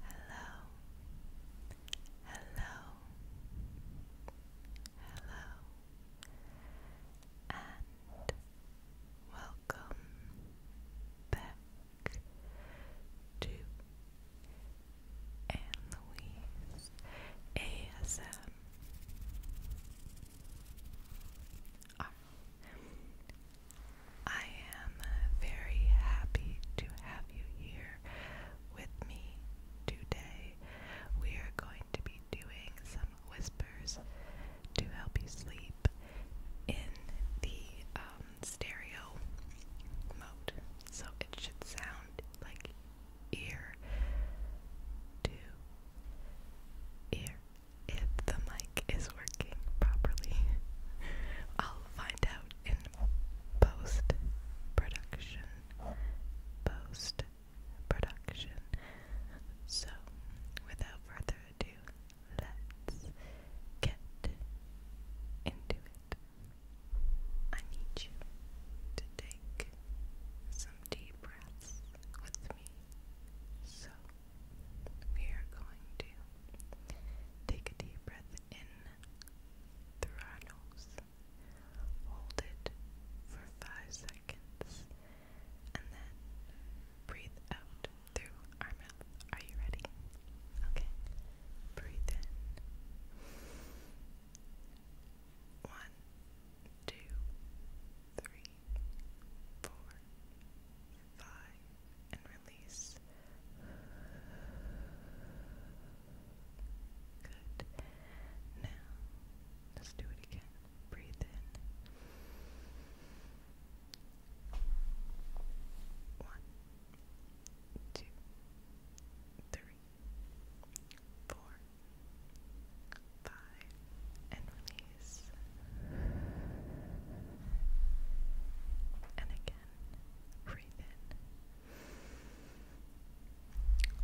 Hello, hello, hello, and welcome back to Louise ASM. I am very happy to have you here with me today. We are going to be doing some whispers to help you sleep in the um, stereo mode. So it should sound like ear to ear if the mic is working properly. I'll find out in post production. Post production. So, without further ado, let's get into it. I need you to take some take a deep breath in through our nose, hold it for five seconds, and then breathe out through our mouth. Are you ready? Okay. Breathe in. One, two, three, four, five, and release. Good. Now, let's do it again. Breathe in. One, two, three, four, five, and release. And again, breathe in.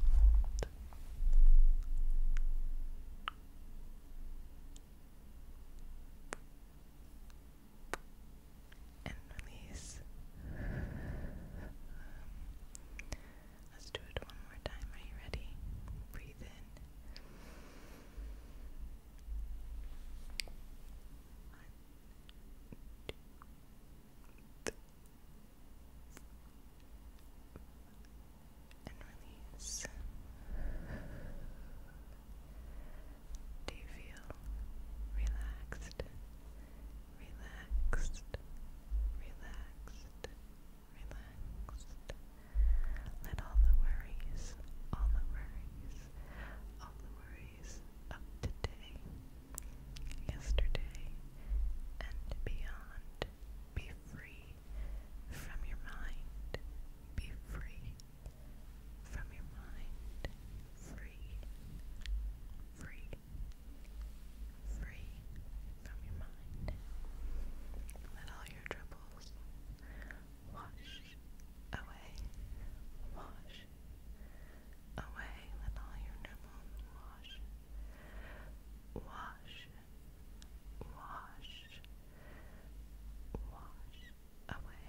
Hold and release. Um, let's do it one more time. Are you ready? Breathe in. One, two, three, and release. Do you feel relaxed relaxed, relaxed, relaxed. Let all the worries, all the worries, all the worries of today, yesterday, and beyond be free from your mind. Be free from your mind free, free, free from your mind. Let all your troubles wash away, wash away. Let all your troubles wash, wash, wash, wash away.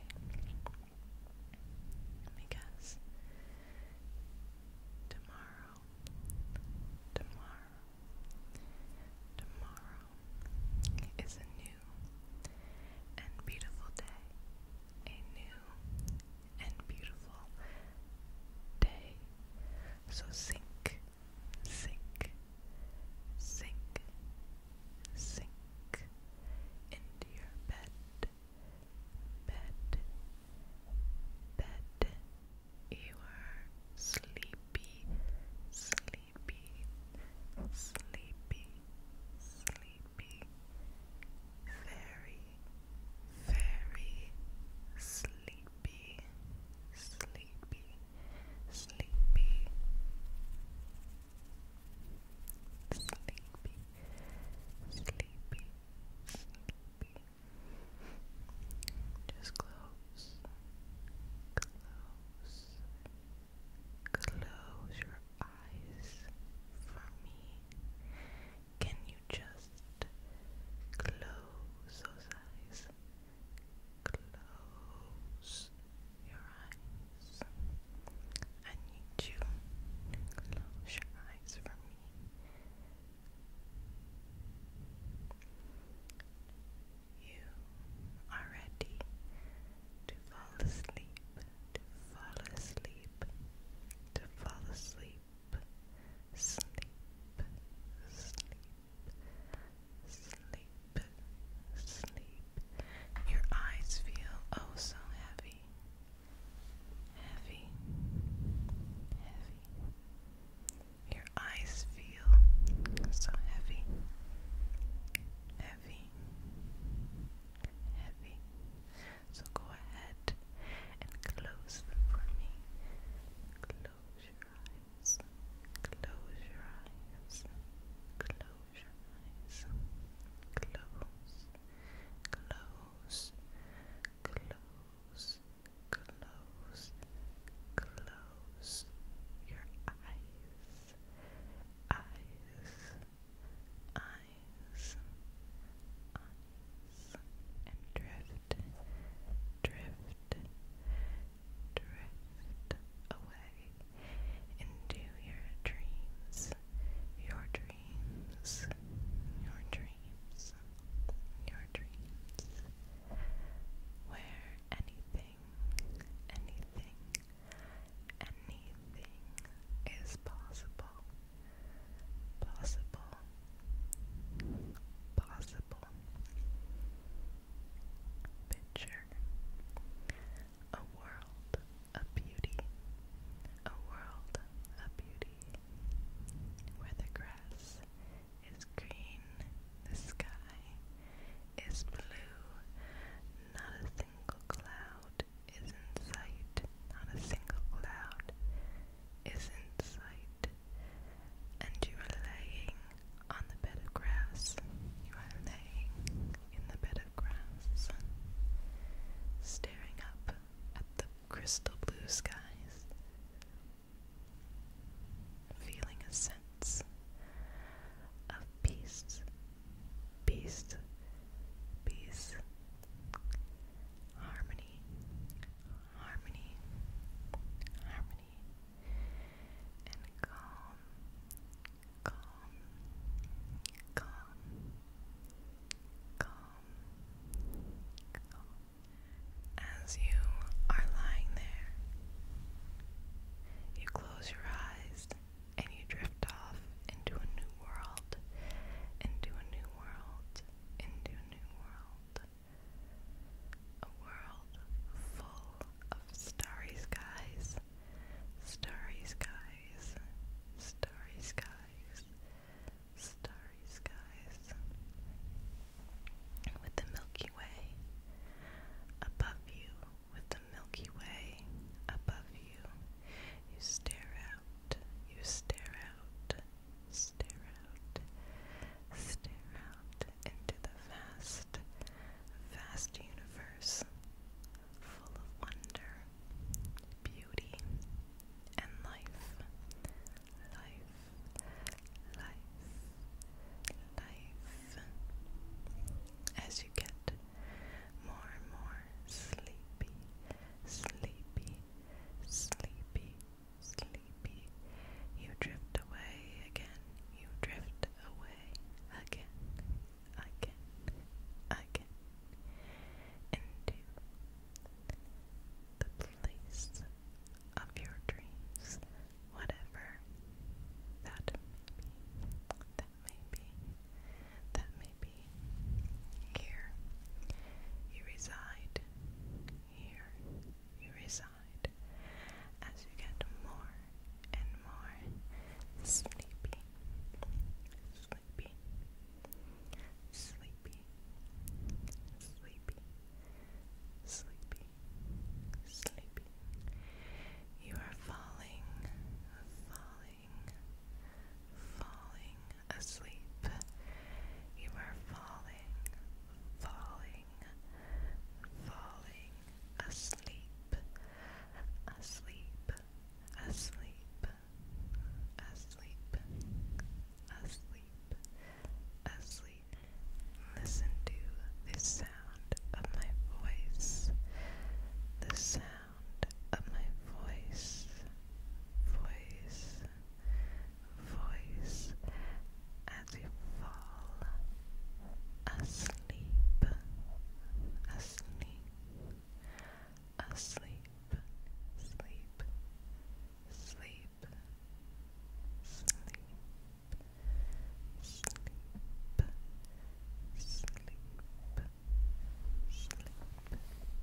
Because tomorrow, tomorrow, tomorrow is a new and beautiful day. A new and beautiful day. So sink, sink, sink, sink into your bed, bed, bed. You are sleepy, sleepy, sleepy, sleepy, very, very sleepy, sleepy, sleepy sleepy, sleepy, sleepy. Just close, close, close your eyes for me. Can you just close those eyes? Close your eyes. I need you close your eyes for me. You are ready to fall asleep, to fall asleep, to fall asleep, sleep, sleep, sleep sleep. Your eyes feel oh so heavy. Heavy, heavy. Your eyes feel so heavy, heavy, heavy. So go ahead and close for me. Close your eyes close your eyes, close your eyes, close, close, close, close, close your eyes, eyes, eyes, eyes, and drift. Drift, drift away into your dreams, your dreams, your dreams, your dreams, where anything, anything, anything is possible, possible, possible. Picture a world of beauty, a world of beauty where the grass is green, the sky is blue, not a single cloud is in sight, not a single cloud is in sight and you are laying on the bed of grass. You are laying in the bed of grass, staring up at the crystal blue skies, feeling a sense of peace, peace, peace, harmony, harmony, harmony and calm, calm, calm, calm, calm. As you are lying there, you close your eyes and you drift off into a new world, into a new world, into a new world. A world full of starry skies, starry skies, starry skies, starry skies. With the Milky Way above you, with the Milky Way above you, you stare out, you stare out. Stare out, stare out into the vast, vast universe full of wonder, beauty, and life. Life, life, life. As you get more and more sleepy, sleepy, sleepy sleepy. You drift away again, you drift away again, again, again, into the place of your dreams, whatever that that may be, that may be. Here you reside here you reside as you get more and more sleepy, sleepy, sleepy, sleepy, sleepy, sleepy. You are falling, falling, falling asleep. You are falling, falling, falling asleep, asleep, asleep, asleep, asleep, asleep. Listen to the sound of my voice. The sound of my voice, voice, voice as you fall asleep, asleep, asleep, sleep, sleep, sleep, sleep, sleep sleep,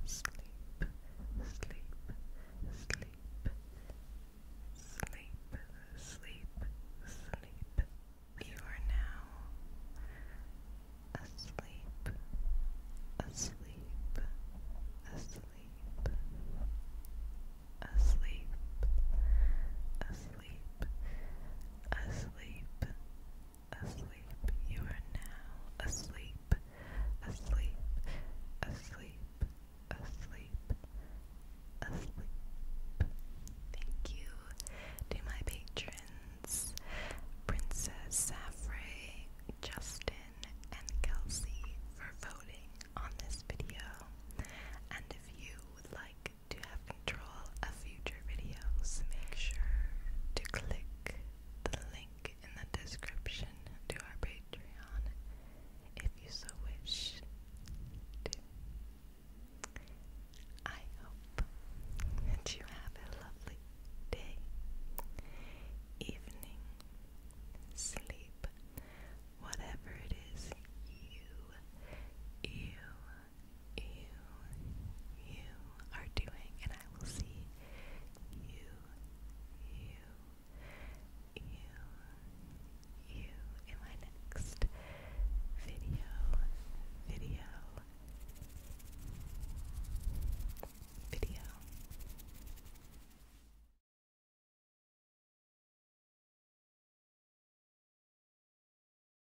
sleep, sleep, sleep, sleep, sleep, sleep. You are now asleep, asleep, asleep, asleep, asleep, asleep. Asleep, asleep. You are now asleep, asleep, asleep, asleep, asleep. Thank you to my patrons, Princess Safray, Justin, and Kelsey for voting on this video. And if you would like to have control of future videos, make sure to click the link in the description to our Patreon if you so wish I hope that you have a lovely day, evening, sleep, whatever it is you you you, you are doing, and I will see you, you, you, you in my next video, video, video.